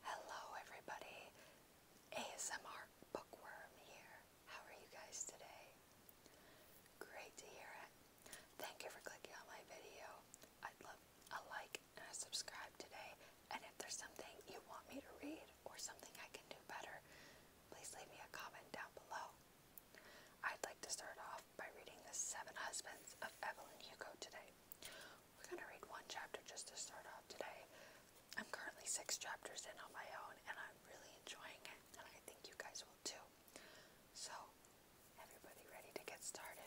Hello, everybody. ASMR Bookworm here. How are you guys today? Great to hear it. Thank you for clicking on my video. I'd love a like and a subscribe today. And if there's something you want me to read or something I can do better, please leave me a comment down below. I'd like to start off by reading The Seven Husbands of Evelyn Hugo today, we're going to read one chapter just to start off today. I'm currently six chapters in on my own, and I'm really enjoying it, and I think you guys will too. So, everybody ready to get started?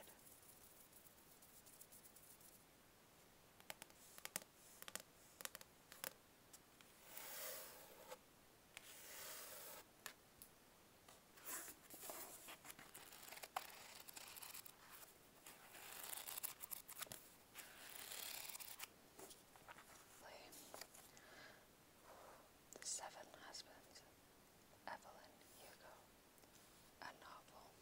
The Seven Husbands, Evelyn Hugo, a novel.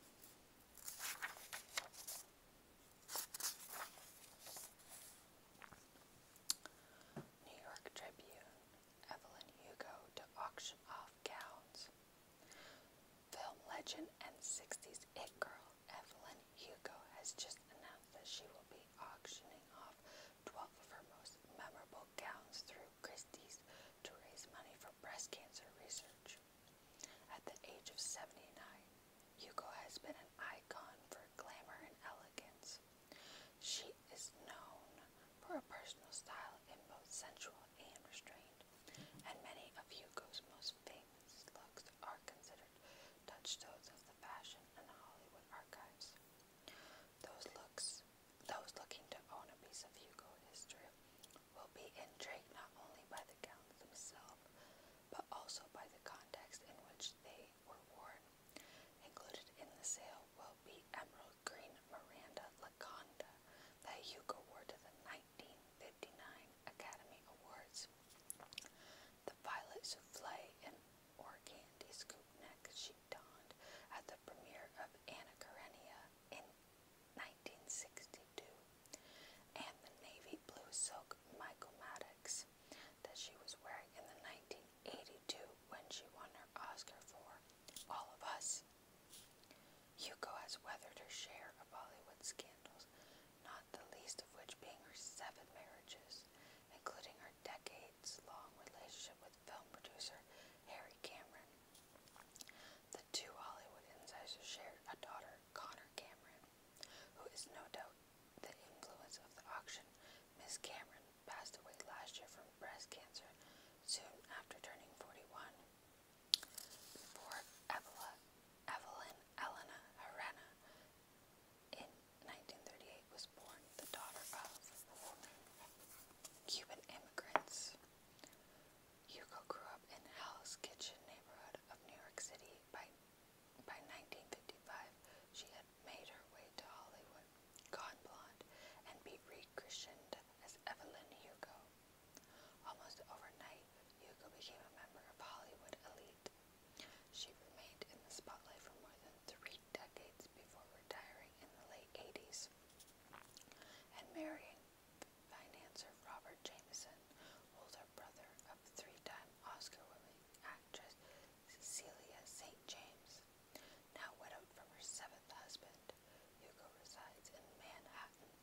New York Tribune, Evelyn Hugo to auction off gowns. Film legend and 60s it girl Evelyn Hugo has just announced that she will be auctioning off 12 of her most memorable gowns through Christie's to raise money for breast cancer research. At the age of 79, Hugo has been an icon for glamour and elegance. She is known for her personal style in both sensual and many of Hugo's most famous looks are considered touchstones of the fashion and Hollywood archives. Those looks, those looking to own a piece of Hugo history will be intrigued not only by the gowns themselves, but also by the context in which they were worn. Included in the sale will be emerald green Miranda Laconda that Hugo wore to the 1959 Academy Awards. The violet souffle and or candy scoop neck she donned at the premiere of Anna Karenina in 1962, and the navy blue silk Michael Maddox that she was wearing in the 1982 when she won her Oscar for All of Us. Yuko has weathered her share of Hollywood scandals, not the least of which being her seven marriages, including her decades long relationship with film producer Harry Cameron. The two Hollywood insiders shared a daughter, Connor Cameron, who is no doubt the influence of the auction. Miss Cameron passed away last year from breast cancer soon after turning 41 for Evelyn, Evelyn Elena Herrera in 1938 was born the daughter of Cuban immigrants. Hugo grew up in Hell's Kitchen neighborhood of New York City. By, by 1955, she had made her way to Hollywood, gone blonde, and be rechristened as Evelyn Hugo. Almost overnight, Yuko became a member of Hollywood elite. She remained in the spotlight for more than three decades before retiring in the late 80s and marrying financier Robert Jameson, older brother of three-time Oscar-winning actress Cecilia St. James now widowed from her seventh husband, Hugo resides in Manhattan.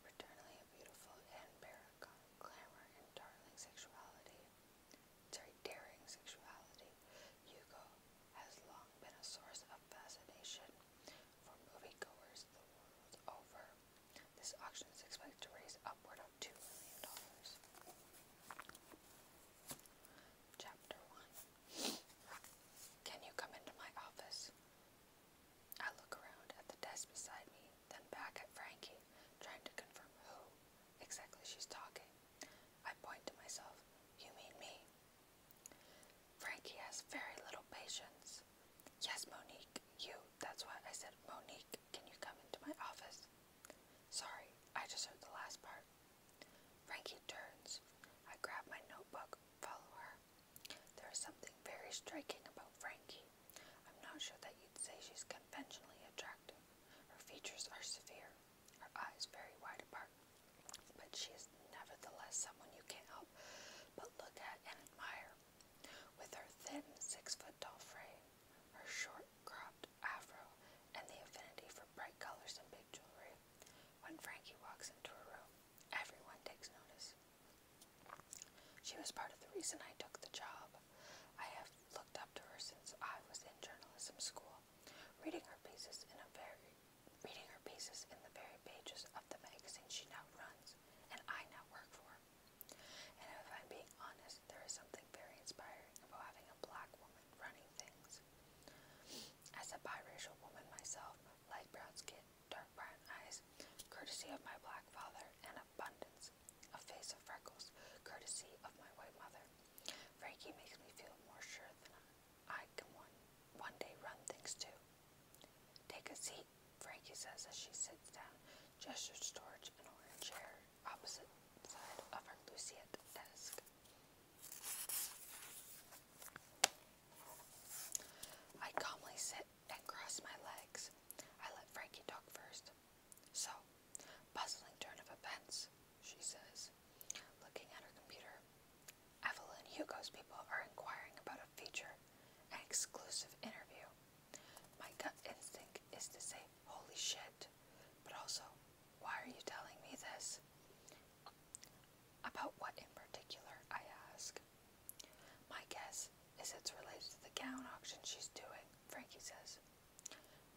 Returnally a beautiful and paragon glamour and darling sexuality, sorry, daring sexuality, Hugo has long been a source of fascination for moviegoers the world over. This auction is expected to raise upward of $2 million. Chapter 1 can you come into my office? I look around at the desk beside me, then back at Frankie, trying to confirm who exactly she's talking. I point to myself, You mean me? Frankie has very little patience. Yes, Monique, you. That's why I said, Monique, can you come into my office? Sorry, I just heard the last part. Frankie turns. I grab my notebook, follow her. There is something very striking about Frankie. I'm not sure that you'd say she's conventionally attractive. Her features are severe, her eyes very wide apart, but she is nevertheless someone you can't help but look at and admire. With her thin, six foot tall frame, her short cropped afro, and the affinity for bright colors and big jewelry, when Frankie walks into a room, everyone takes notice. She was part of the reason I took the job. I have looked up to her since I was in journalism school, reading her pieces in a very reading her pieces in the very pages of the magazine she now runs and I now work for. And if I'm being honest, there is something very inspiring about having a black woman running things. As a biracial woman myself, light brown skin, dark brown eyes, courtesy of my black father, and abundance, a face of freckles, courtesy of my white mother. Frankie makes me feel more sure than I can one, day run things too. Take a seat, Frankie says as she sits down, gestures towards an orange chair opposite side of her Lucy at the desk. I calmly sit and cross my legs. I let Frankie talk first. So, puzzling turn of events, she says, looking at her computer. Evelyn Hugo's people are inquiring about a feature, an exclusive interview. My gut instinct is to say, holy shit, but also, why are you telling me this? About what in particular, I ask. My guess is it's related to the gown auction she's doing, Frankie says.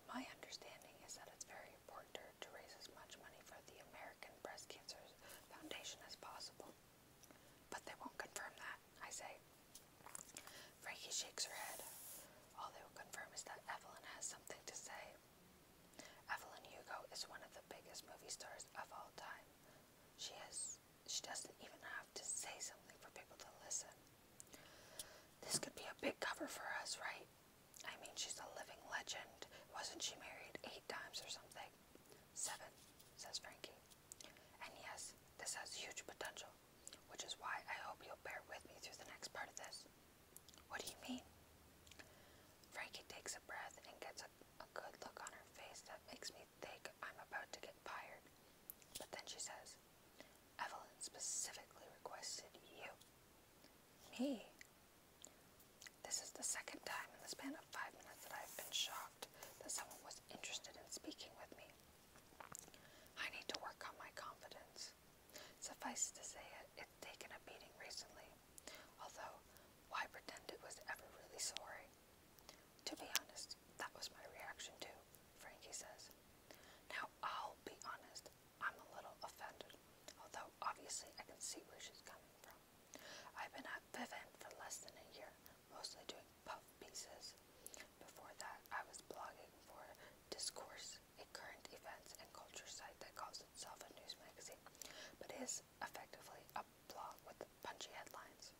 My understanding is that it's very important to, to raise as much money for the American Breast Cancer Foundation as possible. But they won't confirm that, I say. Frankie shakes her head. All they will confirm is that Evelyn has something to say. Evelyn Hugo is one of the biggest movie stars of all time. She has she doesn't even have to say something for people to listen. This could be a big cover for us, right? I mean, she's a living legend. Wasn't she married eight times or something? Seven, says Frankie. And yes, this has huge potential, which is why I hope you'll bear with me through the next part of this. What do you mean? Frankie takes a breath and gets a, a good look on her face that makes me think I'm about to get fired. But then she says, Evelyn specifically requested you. Me? This is the second time in the span of five minutes that I've been shocked that someone was interested in speaking with me. I need to work on my confidence. Suffice to say it's taken a beating recently, although why pretend it was ever really sorry? To be honest, that was my reaction too, Frankie says. Now, I'll be honest, I'm a little offended, although obviously I can see where she's coming from. I've been at Vivint for less than a year, mostly doing puff pieces. Before that, I was blogging for Discourse a current events and culture site that calls itself a news magazine, but is effectively a blog with punchy headlines.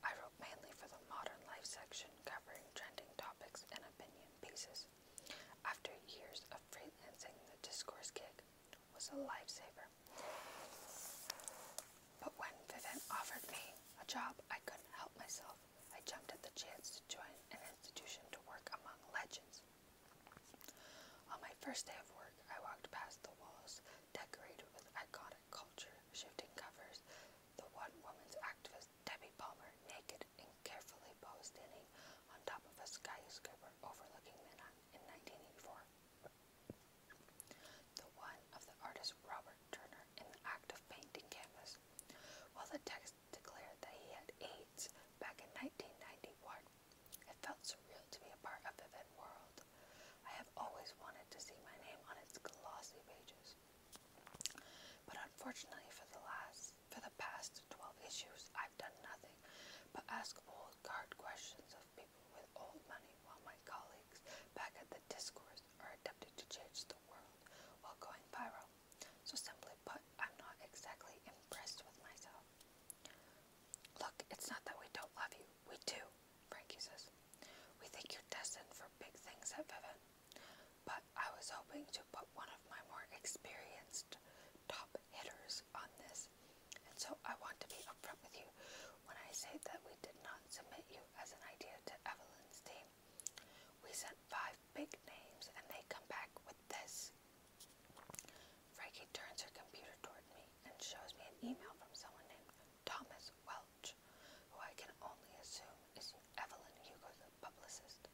I wrote mainly for the modern life section, covering trending topics and opinion pieces. After years of freelancing, the discourse gig was a lifesaver. But when Vivint offered me a job, I couldn't help myself. I jumped at the chance to join an institution to work among legends. On my first day of work, I walked past the walls decorated with iconic culture, shifting covers, the one woman's activist Debbie Palmer naked and carefully posed standing on top of a skyscraper overlooking Manhattan in 1984. The one of the artist Robert Turner in the act of painting canvas, while the text declared that he had AIDS back in 1991. It felt surreal to be a part of the world. I have always wanted to see my name on its glossy pages. But unfortunately for the last for the past 12 issues, I've done nothing but ask old card questions of people with old money while my colleagues back at the discourse are attempting to change the world while going viral. So simply but I'm not exactly impressed with myself. Look, it's not that we don't love you. We do, Frankie says. We think you're destined for big things at Vivint. But I was hoping to put one of my more experienced top hitters on this, and so I want to be upfront with you when I say that we did not submit you as an idea to Evelyn's team. We sent five big names, and they come back with this Frankie turns her computer toward me and shows me an email from someone named Thomas Welch, who I can only assume is Evelyn Hugo, the publicist.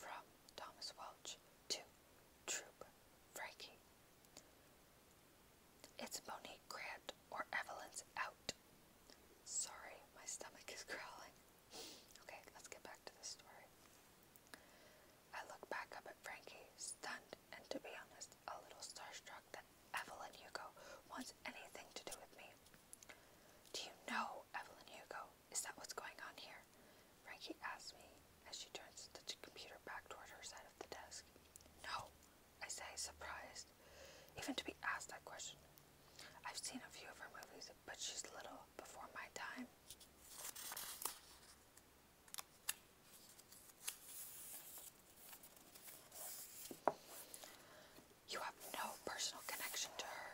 From Thomas Welch to Troop Frankie. It's Monique Grant or Evelyn's out. Sorry, my stomach is growling. Okay, let's get back to the story. I look back up at Frankie, stunned, and to be honest, a little starstruck that Evelyn Hugo wants anything to do with me. Do you know Evelyn Hugo? Is that what's going on here? Frankie asks me as she turns the computer back toward her side of the desk. No, I say, surprised, even to be asked that question. I've seen a few of her movies, but she's a little before my time. You have no personal connection to her.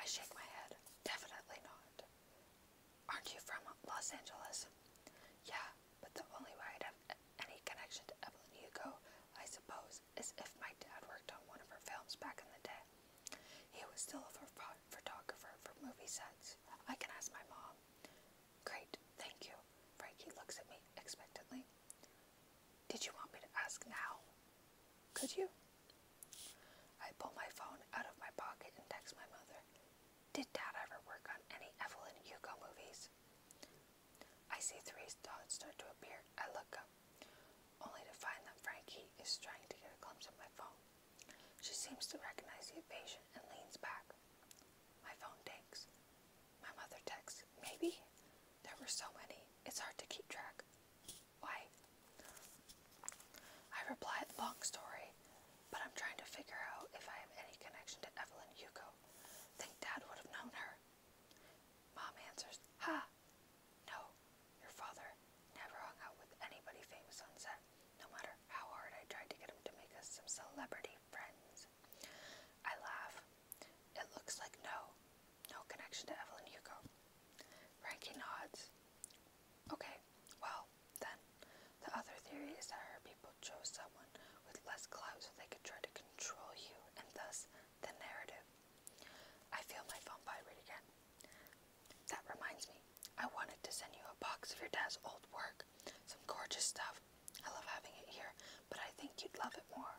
I shake my head. Definitely not. Aren't you from Los Angeles? Yeah, but the only way I'd have any connection to Evelyn Hugo, I suppose, is if my dad worked on one of her films back in the day. He was still a photographer for movie sets. I can ask my mom. Great, thank you. Frankie looks at me expectantly. Did you want me to ask now? Could you? I pull my phone out of my pocket and text my mother. Did Dad ever work on any Evelyn Hugo movies? I see three dots start to appear. I look up only to find that Frankie is trying to get a glimpse of my phone. She seems to recognize the invasion and leans back. My phone dings. My mother texts, Maybe? There were so many, it's hard to keep track. Why? I reply, Long story, but I'm trying to figure out if I have any connection to Evelyn Hugo. Think Dad would have known her. Mom answers, Ha! No, your father never hung out with anybody famous on no matter how hard I tried to get him to make us some celebrity friends. I laugh. It looks like no, no connection to Evelyn Hugo. Frankie nods. Okay, well, then, the other theory is that her people chose someone with less clout so they could try to control you and thus the narrative. I feel my phone vibrate again. That reminds me, I wanted to send you a box of your dad's old work. Some gorgeous stuff. I love having it here, but I think you'd love it more.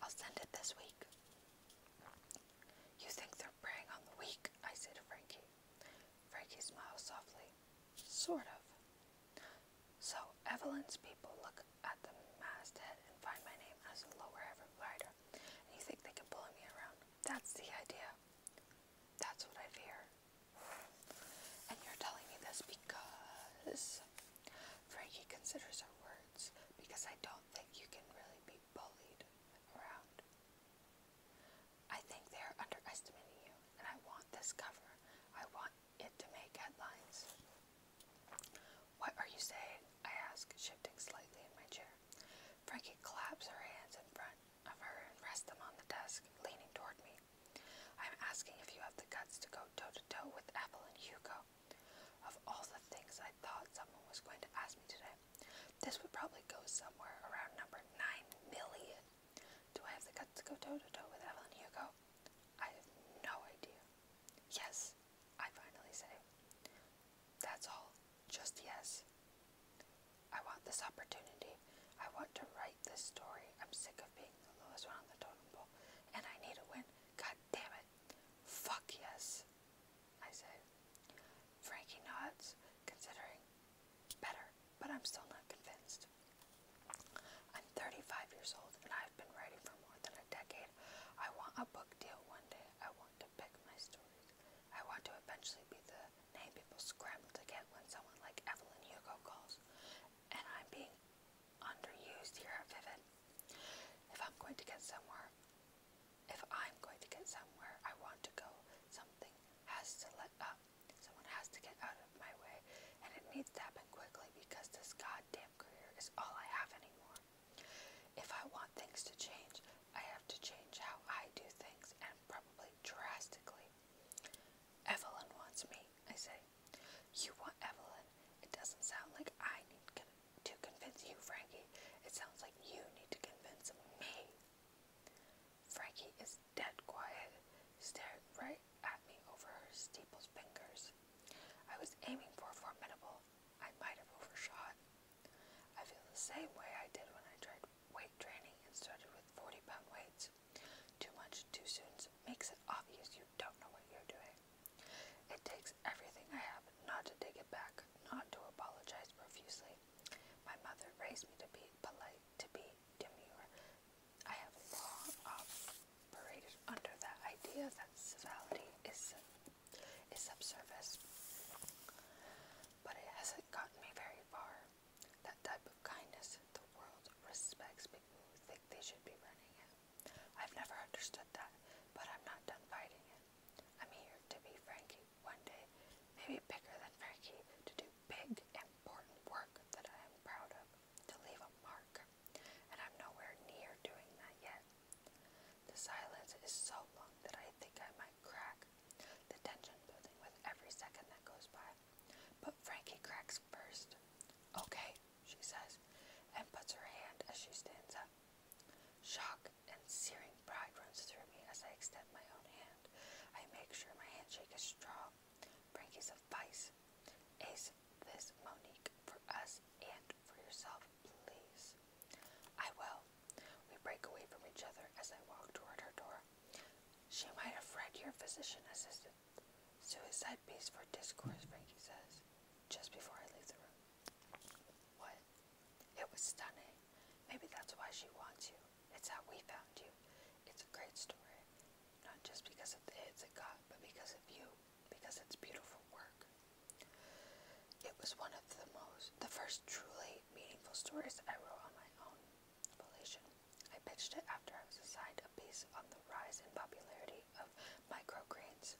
I'll send it this week. You think they're preying on the weak, I say to Frankie. Frankie smiles softly. Sort of. So, Evelyn's people look at the masthead and find my name as a lower rider here, and you think they can bully me around. That's the idea. That's what I fear. And you're telling me this because Frankie considers her words because I don't think you can really be bullied around. I think they're underestimating you, and I want this cover. I want it to make headlines. What are you saying? I ask, shifting slightly in my chair. Frankie claps her hands in front of her and rests them on the desk, leaning toward me. I'm asking if you have the guts to go toe to toe with Evelyn Hugo. Of all the things I thought someone was going to ask me today, this would probably go somewhere around number 9 million. Do I have the guts to go toe to toe with Evelyn Hugo? I have no idea. Yes, I finally say, That's all, just yes. I want this opportunity. I want to write this story. I'm sick of being the lowest one on the totem pole, and I need to win. God damn it. Fuck yes, I say. Frankie nods, considering better, but I'm still not convinced. I'm 35 years old and I've been writing for more than a decade. I want a book deal one day. I want pick my stories. I want to eventually be the name people scramble to get when someone like Evelyn Hugo calls, and I'm being underused here at Vivid. If I'm going to get somewhere, if I'm going to get somewhere I want to go, something has to let up. Someone has to get out of my way, and it needs to happen quickly because this goddamn career is all I have anymore. If I want things to change, I have to change how I do things and probably drastically. Evelyn wants me, I say. You want Evelyn. It doesn't sound like I need to convince you, Frankie. It sounds like you need to convince me. Frankie is dead quiet, staring right at me over her steeple's fingers. I was aiming for formidable. I might have overshot. I feel the same way I did when I tried weight training and started with 40 pound weights. Too much too soon makes it obvious you don't know what you're doing. It takes everything I have not to take it back, not to apologize profusely. My mother raised me to be polite, to be demure. I have long operated under that idea that civility is is subservice. But it hasn't gotten me very far. That type of kindness, the world respects people they should be running it. I've never understood that, but I'm not done fighting it. I'm here to be Frankie one day, maybe bigger than Frankie, to do big, important work that I am proud of, to leave a mark. And I'm nowhere near doing that yet. The silence is so long that I think I might crack, the tension building with every second that goes by. But Frankie cracks first. Okay, she says, and puts her hand as she stands up. Shock and searing pride runs through me as I extend my own hand. I make sure my handshake is strong. Frankie's advice is this, Monique, for us and for yourself please. I will. We break away from each other as I walk toward her door. She might have read your physician assistant suicide piece for discourse, Frankie says, just before I leave the room. What? It was stunning. Maybe that's why she wants you. It's how we found you. It's a great story. Not just because of the hits it got, but because of you because it's beautiful work. It was one of the most, the first truly meaningful stories I wrote on my own volition. I pitched it after I was assigned a piece on the rise in popularity of microgreens,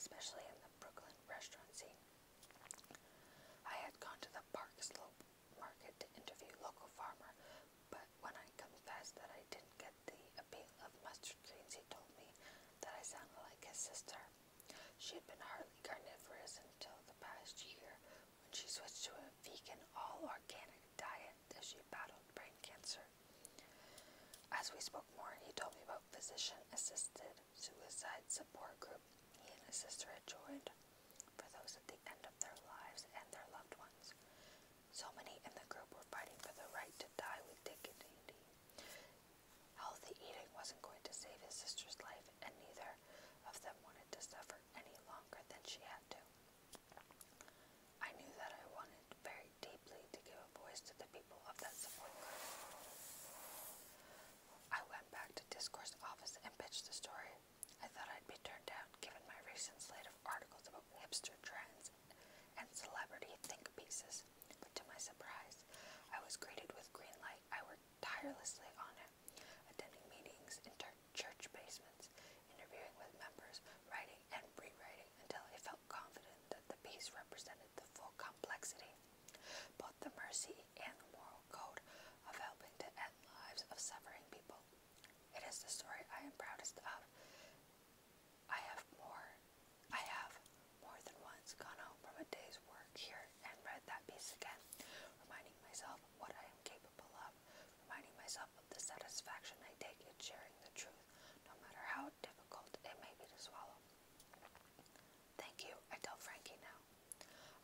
especially in the Brooklyn restaurant scene. I had gone to the Park Slope market to interview local farmer, but when I confessed that I didn't get the appeal of mustard greens, he told me that I sounded like his sister. She had been hardly carnivorous until the past year when she switched to a vegan, all organic diet as she battled brain cancer. As we spoke more, he told me about physician assisted suicide support group he and his sister had joined for those at the end of their lives and their loved ones. So many in the group were fighting for the right to die with dignity. Healthy eating wasn't going to save his sister's life, and neither of them wanted to suffer any longer than she had to. I knew that I wanted very deeply to give a voice to the people of that support I went back to Discourse office and pitched the story. I thought I'd be turned down given my recent slate of articles about hipster trends and celebrity think pieces, but to my surprise, I was greeted with green light. I worked tirelessly on it, attending meetings in church basements, interviewing with members, writing and rewriting until I felt confident that the piece represented the full complexity, both the mercy and the moral code of helping to end lives of suffering people. It is the story I am proudest of I have more I have more than once gone home from a day's work here and read that piece again, reminding myself what I am capable of, reminding myself of the satisfaction I take in sharing the truth, no matter how difficult it may be to swallow. Thank you, I tell Frankie now.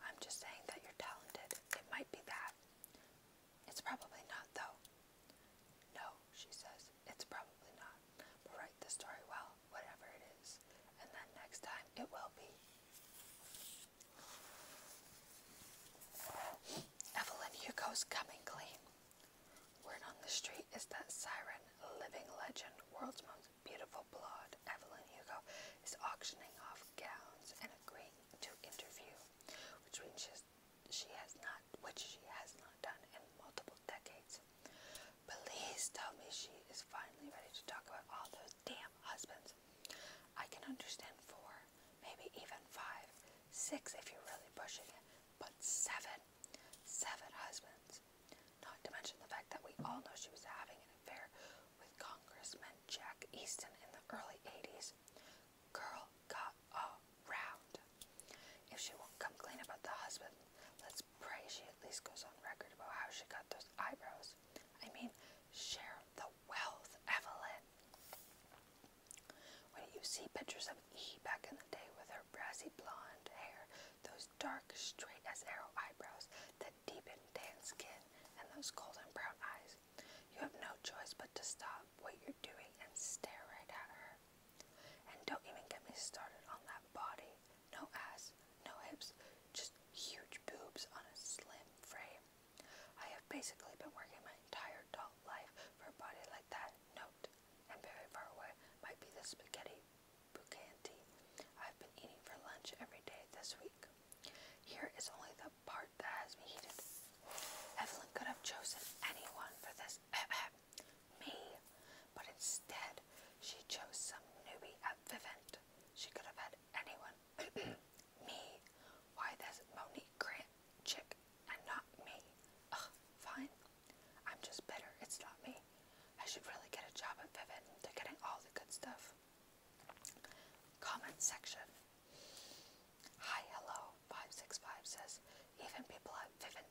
I'm just saying that you're talented. It might be that. It's probably not, though. No, she says, it's probably not. write the story well, whatever it is, and then next time it will be. Evelyn Hugo's Coming Clean. Word on the street is that Siren, living legend, world's most beautiful blonde, Evelyn Hugo, is auctioning off gowns and agreeing to interview, which means she has, she has not, which she has not done in multiple multiple decades. Please tell me she is finally ready to talk about all those damn husbands. I can understand four, maybe even five, six if you're really pushing it, but seven, seven husbands. Not to mention the fact that we all know she was having an affair with Congressman Jack Easton in the early 80s. Girl got off round. If she won't come clean about the husband, let's pray she at least goes on record about how she got those eyebrows. I mean, share the wealth, Evelyn. When you see pictures of E back in the day with her brassy blonde hair, those dark, straight as arrow eyebrows, that deepened tan skin, and those golden brown eyes, you have no choice but to stop what you're doing and stare right at her. And don't even get me started on that body. No ass, no hips, just huge boobs on a slim frame. I have basically been working my entire adult life for a body like that. Note, and very far away might be the spaghetti bucanti I've been eating for lunch every day this week. Here is only the part that has me heated. Evelyn could have chosen anyone for this me, but instead she chose some newbie at Vivint. She could have had anyone. me. Why this Monique Grant chick and not me? fine. I'm just bitter. It's not me. I should really get a job at Vivint. They're getting all the good stuff. Comment section. Hi, hello. 565 says, even people at Vivint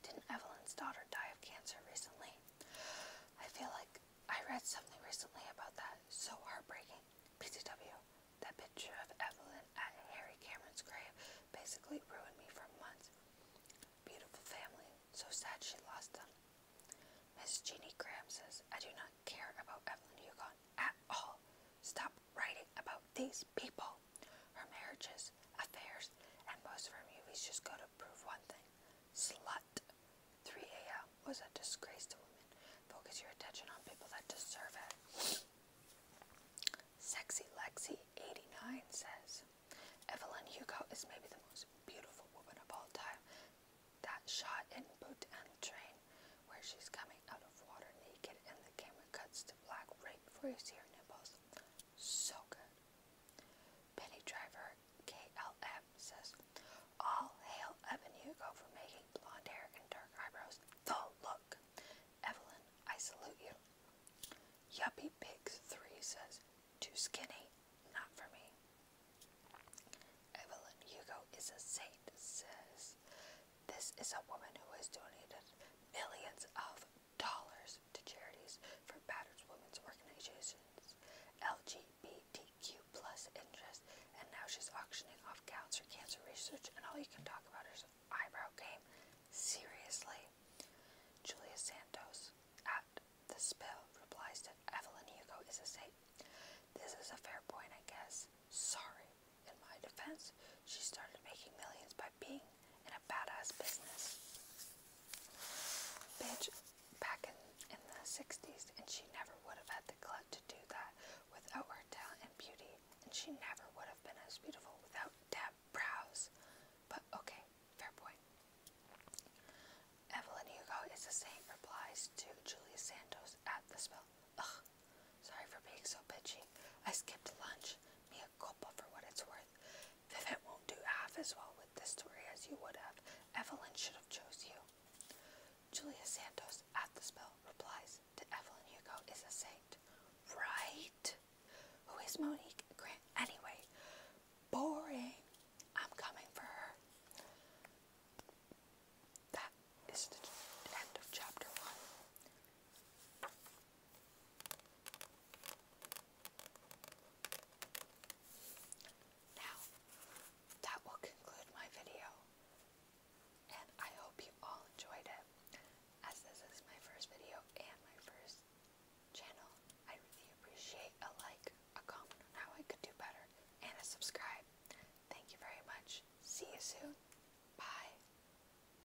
didn't Evelyn's daughter die of cancer recently? I feel like I read something recently about that. So heartbreaking. PCW, that picture of Evelyn at Harry Cameron's grave basically ruined me for months. Beautiful family. So sad she lost them. Miss Jeannie Graham says, I do not care about Evelyn Hugon at all. Stop writing about these people, her marriages, affairs, and most of her movies just go to prove one thing. Slut. 3 a.m. was a disgrace to women. Focus your attention on people that deserve it. Sexy Lexi 89 says, Evelyn Hugo is maybe the most beautiful woman of all time. That shot in Boot and Train, where she's coming out of water naked and the camera cuts to black right before you see her nipples. So good. Penny Driver KLF says, All hail Evan Hugo for making blonde hair and dark eyebrows the look. Evelyn, I salute you. Yuppy Pigs 3 says, Too skinny, not for me. Evelyn Hugo is a saint, says, This is a woman who has donated millions of to charities for battered women's organizations, LGBTQ plus interests, and now she's auctioning off gowns for cancer research, and all you can talk about is eyebrow game. Seriously. Julia Santos at the spill replies that Evelyn Hugo is a saint. This is a fair point, I guess. Sorry. In my defense, she started making millions by being in a badass business. Bitch, back in, in the 60s, and she never would have had the clout to do that without her talent and beauty, and she never would have been as beautiful without Deb brows. But okay, fair point. Evelyn Hugo is the same replies to Julius Santos at the spell. Ugh, sorry for being so bitchy. I skipped lunch mea for what it's worth. Vivint won't do half as well with this story as you would have. Evelyn should have chose you. Julia Santos, at the spell, replies to Evelyn Hugo is a saint. Right? Who is Monique Grant anyway? Boring. I'm coming for her. That is the end of chapter one. Now, that will conclude my video, I hope you all enjoyed it. As this is my first video and my first channel, I really appreciate a like, a comment on I could do better, and a subscribe. Thank you very much. See you soon. Bye.